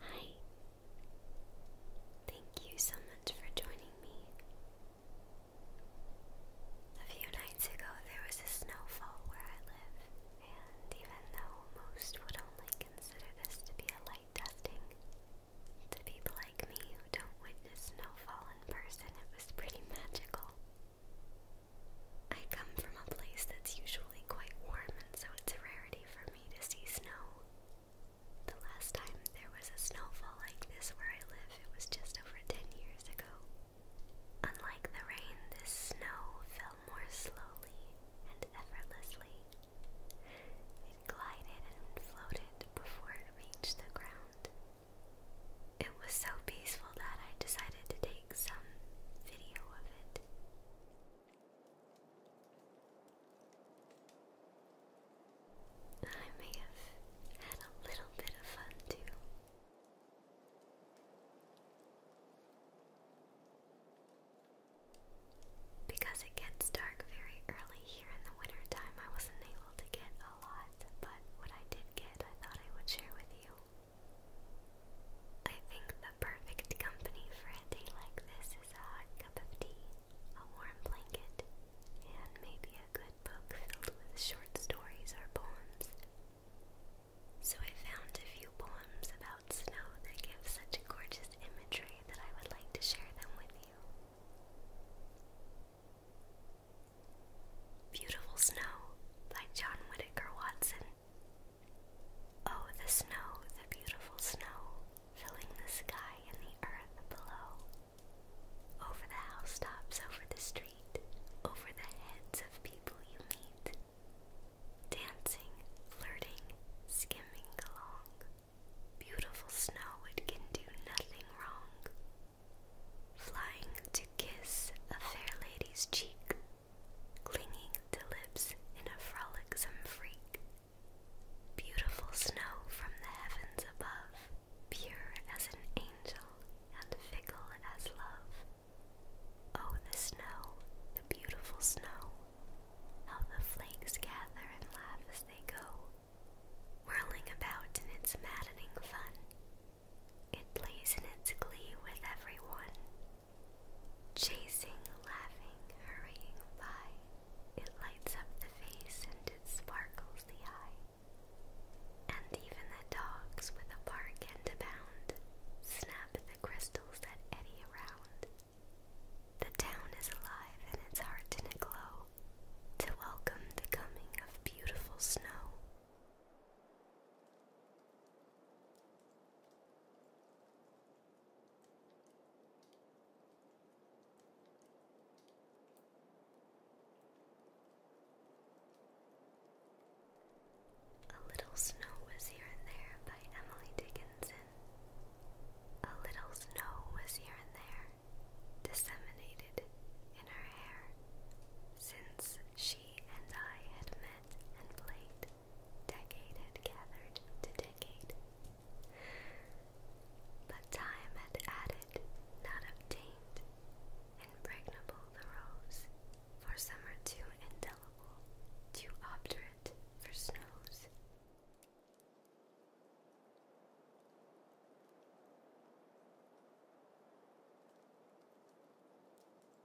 Hi. Thank you so much for joining me. A few nights ago, there was a snowfall where I live, and even though most would only consider this to be a light dusting, to people like me who don't witness snowfall in person, it was pretty magical. I come from a place that's usually quite warm, and so it's a rarity for me to see snow. The last time there was a snowfall like this where I live, it was just over 10 years ago. Unlike the rain, this snow fell more slowly and effortlessly. It glided and floated before it reached the ground. It was so peaceful that I decided to take some video of it. I may have had a little bit of fun too. Because it gets dark very early here in the winter time, I wasn't able to get a lot, but what I did get, I thought I would share with you. I think the perfect company for a day like this is a hot cup of tea, a warm blanket, and maybe a good book filled with short stories or poems. So I found a few poems about snow that give such gorgeous imagery that I would like to share them with you. Beautiful Snow by John Whitaker Watson. Oh, the snow, the beautiful snow, filling the sky and the earth below. Over the housetops, over the street, over the heads of people you meet. Dancing, flirting, skimming along. Beautiful snow, it can do nothing wrong. Flying to kiss a fair lady's cheek, clinging to lips in a frolicsome freak. Beautiful snow from the heavens above, pure as an angel and fickle as love. Oh, the snow, the beautiful snow, how the flakes gather and laugh as they go, whirling about in its maddening fun, it plays in its glee with everyone, chasing, laughing, hurrying by. It lights up the face and it sparkles the eye. And even the dogs, with a bark and a bound, snap the crystals that eddy around. The town is alive and its heart in a glow to welcome the coming of beautiful snow. A Little Snow Was Here and There by Emily Dickinson. A little snow was here and there, disseminated in her hair, since she and I had met instrument and played decade had gathered to decade. But time had added, not obtained, impregnable the rose, for summer too indelible, too obdurate for snows.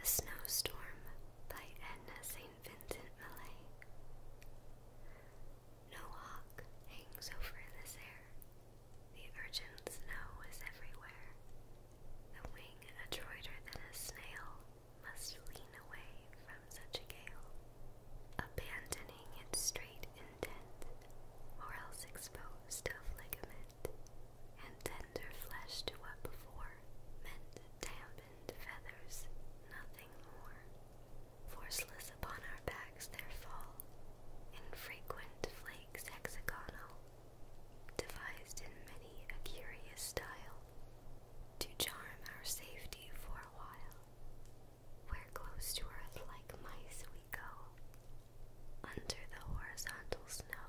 The Snowstorm by Edna St. Vincent Millay. No hawk hangs over this air. The urchin snow is everywhere. The wing adroiter than a snail must lean away from such a gale, abandoning its straight intent, or else exposed of ligament and tender flesh to what before meant dampened feathers, nothing more. Forceless upon our backs there fall infrequent flakes hexagonal, devised in many a curious style, to charm our safety for a while. Where close to earth like mice we go, under the horizontal snow.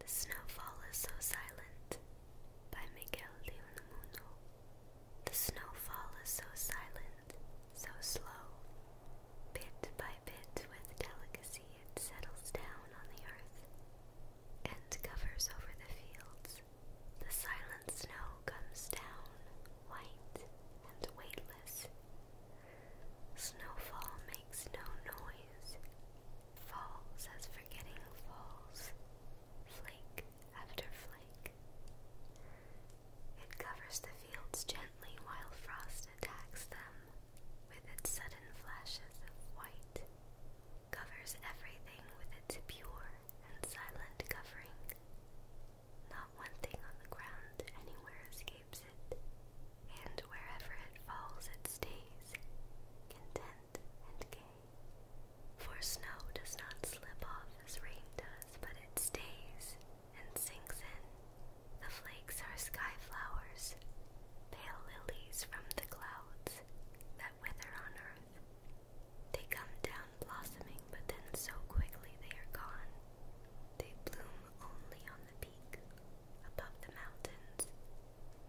The Snowfall is So Silent by Miguel de Unamuno. The snowfall is so silent, so slow. Bit by bit, with delicacy, it settles down on the earth and covers over the fields. The silent snow comes down, white and weightless, Snowfall makes no noise. Falls as forgetting falls, flake after flake. It covers the fields gently while frost attacks them with its sudden flashes of white, covers everything with its pure and silent covering. Not one thing on the ground anywhere escapes it, and wherever it falls it stays, content and gay. For snow does not slip off as rain does, but it stays and sinks in. The flakes are sky flowers, pale lilies from the clouds that wither on earth. They come down blossoming, but then so quickly they are gone. They bloom only on the peak, above the mountains,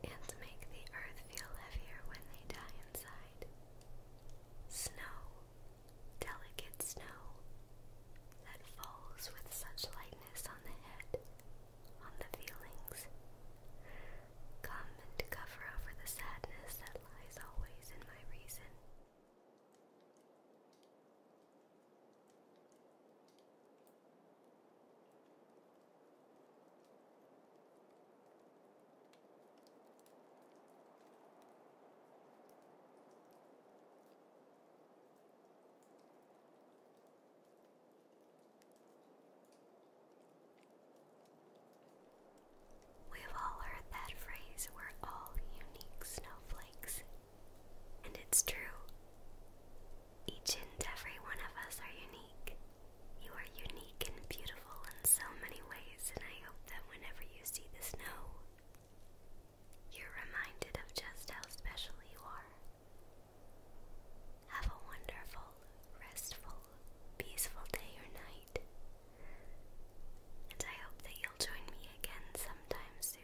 and make the earth feel heavier when they die inside. Snow, delicate snow, that falls with such lightness on the head, on the feelings. Come and cover over the sadness that lies always in my reason. We've all heard that phrase, we're all unique snowflakes. And it's true. Each and every one of us are unique. You are unique and beautiful in so many ways, and I hope that whenever you see the snow, you're reminded of just how special you are. Have a wonderful, restful, peaceful day or night, and I hope that you'll join me again sometime soon.